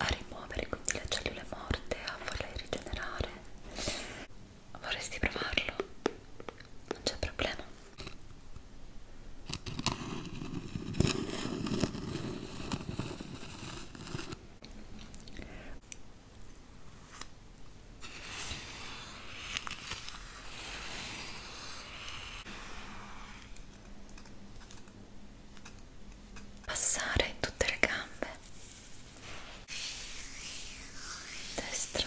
a rimuovere quindi le cellule morte, a farle rigenerare. Vorresti provarlo? Non c'è problema passare in tutte le gambe destra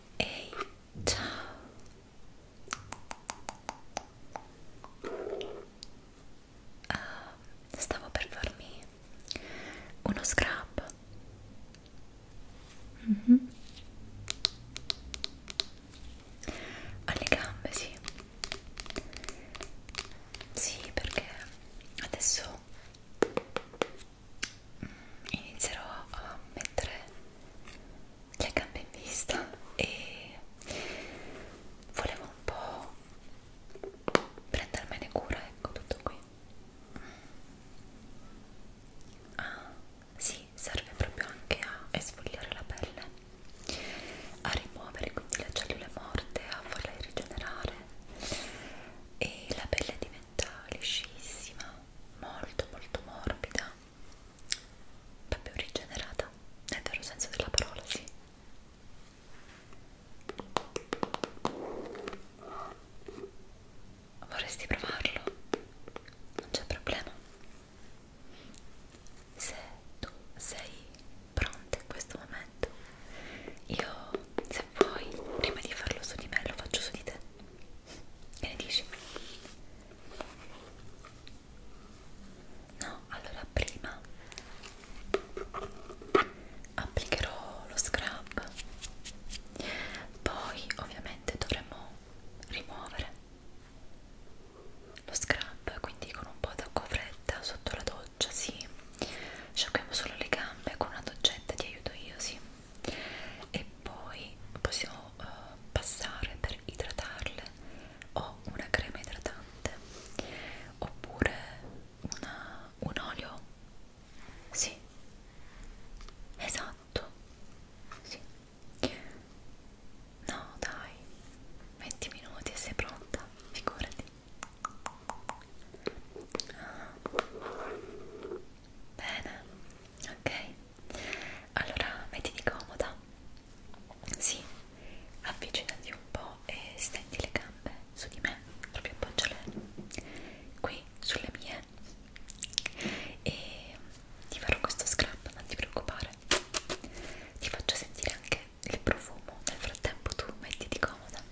Ehi, ciao! Uh, stavo per farmi uno scrub. Mm -hmm. Alle gambe, sì. Sì, perché adesso inizierò a mettere le gambe in vista e volevo un po' prendermene cura, ecco tutto qui. Ah, sì, serve proprio anche a esfoliare la pelle, a rimuovere quindi le cellule morte, a farle rigenerare e la pelle diventa un'unghetta liscissima, molto molto morbida, proprio rigenerata, nel vero senso della parola, sì. Vorresti provarlo? Non c'è problema. Se tu sei pronta in questo momento, io se vuoi, prima di farlo su di me, lo faccio su di te. Che ne dici? No, allora prima applicherò lo scrub, poi ovviamente dovremo rimuovere lo scrub, quindi con un po' d'acqua fredda sotto la doccia, sì. Sciacquiamo solo le gambe con una doccetta, ti aiuto io, sì e poi possiamo uh, passare per idratarle o una crema idratante oppure una, un olio sì esatto sì no dai 20 minuti e sei pronta figurati ah. Bene, ok. Allora mettiti comoda. Sì, avvicinati un po' e stendi le gambe su di me, proprio appoggiale qui sulle mie. E ti farò questo scrub, non ti preoccupare. Ti faccio sentire anche il profumo. Nel frattempo tu mettiti comoda.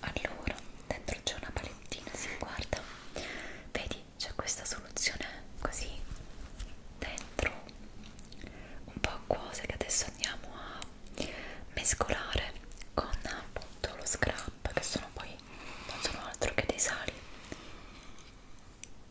allora dentro c'è una palettina si guarda vedi c'è questa soluzione così dentro un po' acquosa che adesso andiamo a mescolare con appunto lo scrub che sono poi non sono altro che dei sali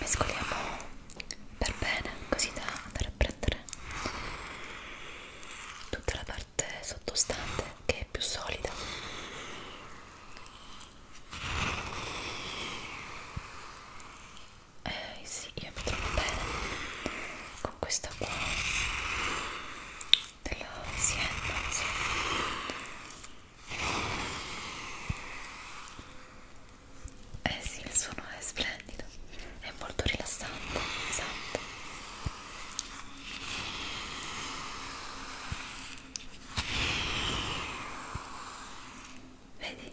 mescoliamo per bene così da andare a prendere tutta la parte sottostante che è più solida eh sì io mi trovo bene con questa qua della Sienna sì. Eh sì, il suono è splendido, è molto rilassante, esatto. Vedi?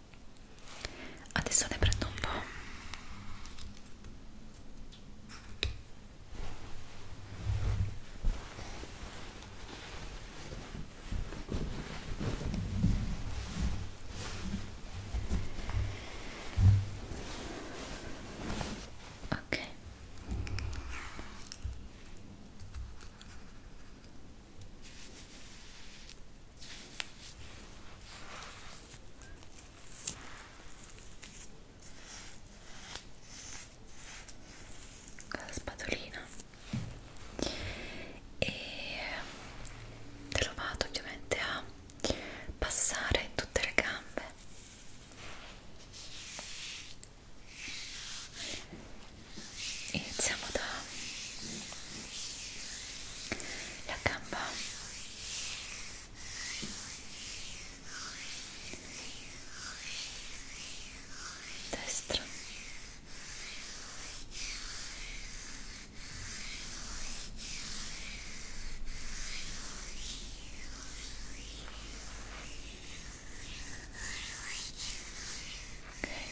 adesso ne prendo un po' ok con la spatolina e te lo vado ovviamente a passare in tutte le gambe iniziamo da la gamba destra Okay.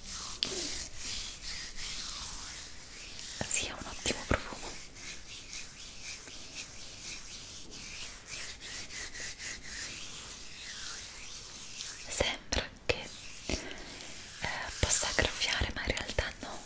Sì, ha un ottimo profumo. Sembra che eh, possa graffiare, ma in realtà no.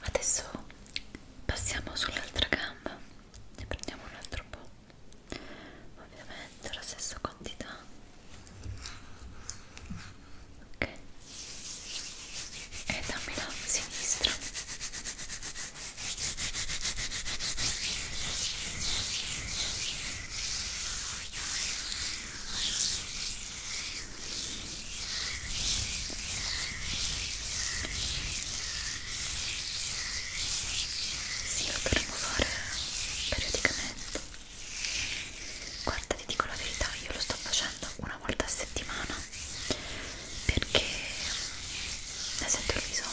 adesso passiamo sull'altra gamba ne prendiamo un altro po' ovviamente la stessa quantità ok e dammi la sinistra ok sì, lo dovremmo fare periodicamente. Guarda, ti dico la verità, io lo sto facendo una volta a settimana perché ne sento il bisogno.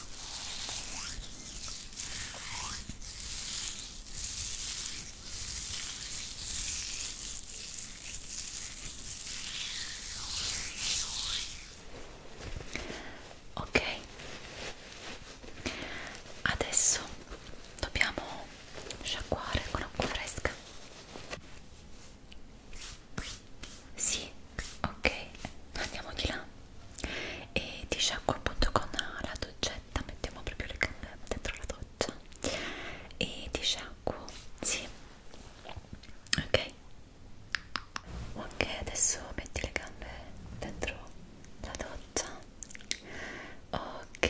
Ok, adesso dobbiamo sciacquare con acqua fresca. Sì, ok, andiamo di là e ti sciacquo appunto con la doccetta, mettiamo proprio le gambe dentro la doccia e ti sciacquo, sì, ok, ok adesso metti le gambe dentro la doccia, ok.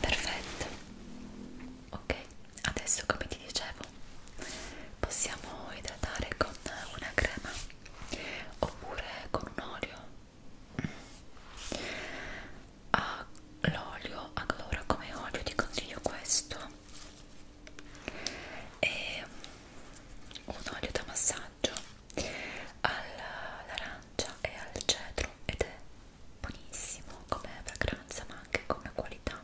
perfetto ok adesso come ti dicevo possiamo idratare con una crema oppure con un olio mm. ah, l'olio allora come olio ti consiglio questo è un olio da massaggio all'arancia e al cedro ed è buonissimo come fragranza ma anche come qualità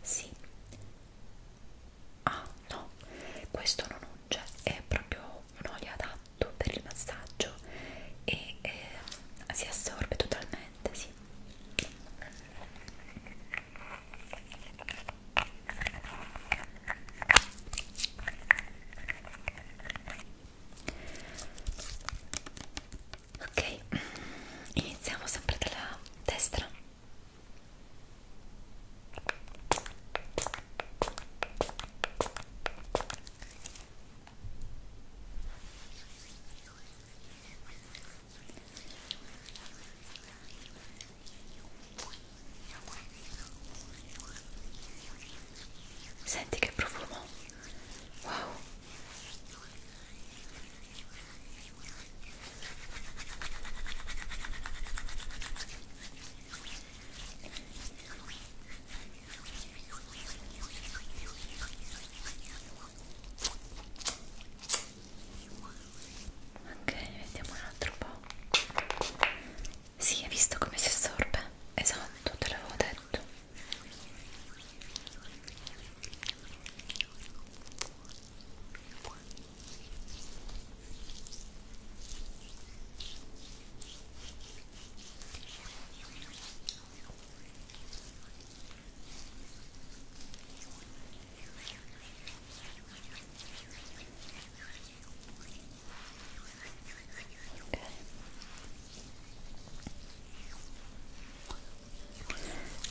sì ah no questo non unge è proprio un olio adatto per il massaggio e eh, si assorbe totalmente sì ok iniziamo sempre dalla destra Senti che profumo. Wow. Ok, vediamo un altro po'. Sì, hai visto come si assorbe? Esatto, te l'avevo detto.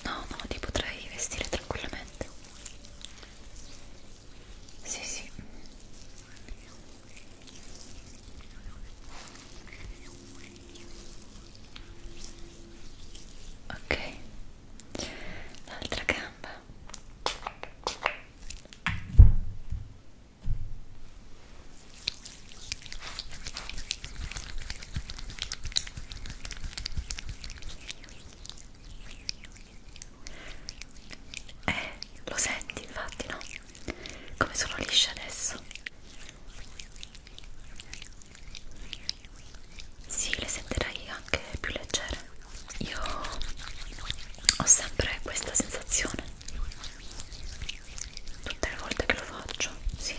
No, no, ti potrai vestire tranquillamente. Sì, sì. Ok. L'altra gamba. Eh, lo senti infatti, no? Come sono lisce adesso? Sì, le sentirai anche più leggere. Io ho sempre questa sensazione tutte le volte che lo faccio, sì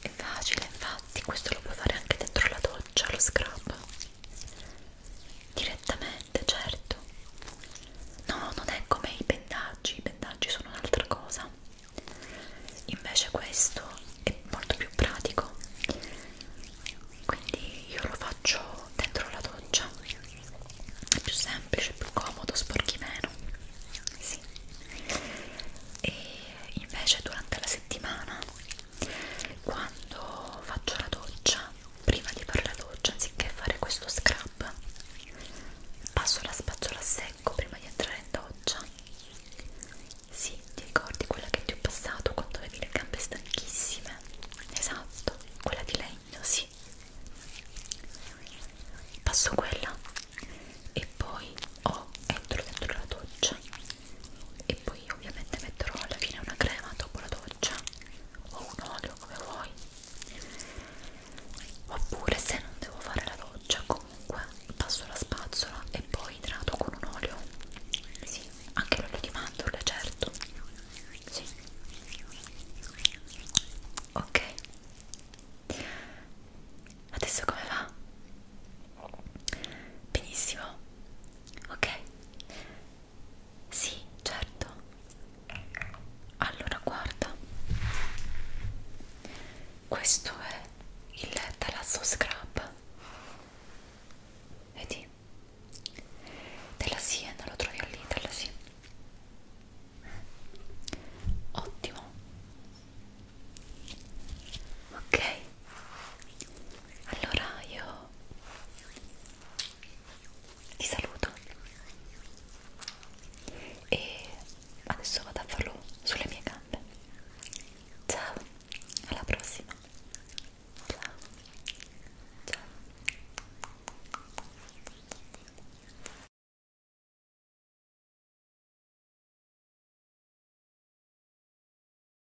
è facile infatti questo lo puoi fare anche dentro la doccia lo scrub direttamente, certo. No, non è come i pendaggi, i pendaggi sono un'altra cosa. Invece questo è molto più pratico. Quindi io lo faccio dentro la doccia. È più semplice, più comodo, sporchi meno. Sì. E invece durante la settimana quando faccio la doccia prima di fare la doccia anziché fare questo scrub passo la spazzola a secco prima di entrare in doccia sì, ti ricordi quella che ti ho passato quando avevi le gambe stanchissime? esatto, quella di legno, sì passo quella e poi o entro dentro la doccia e poi ovviamente metterò alla fine una crema dopo la doccia o un olio come vuoi oppure se non devo fare la doccia comunque passo la spazzola e poi idrato con un olio sì, anche l'olio di mandorle certo sì ok adesso come va? benissimo ok sì certo allora guarda questo è il talasso scrub vedi della Siena eh, lo trovi all'Italia sì ottimo ok allora io ti saluto e adesso vado a farlo sulle mie gambe ciao alla prossima ciao ciao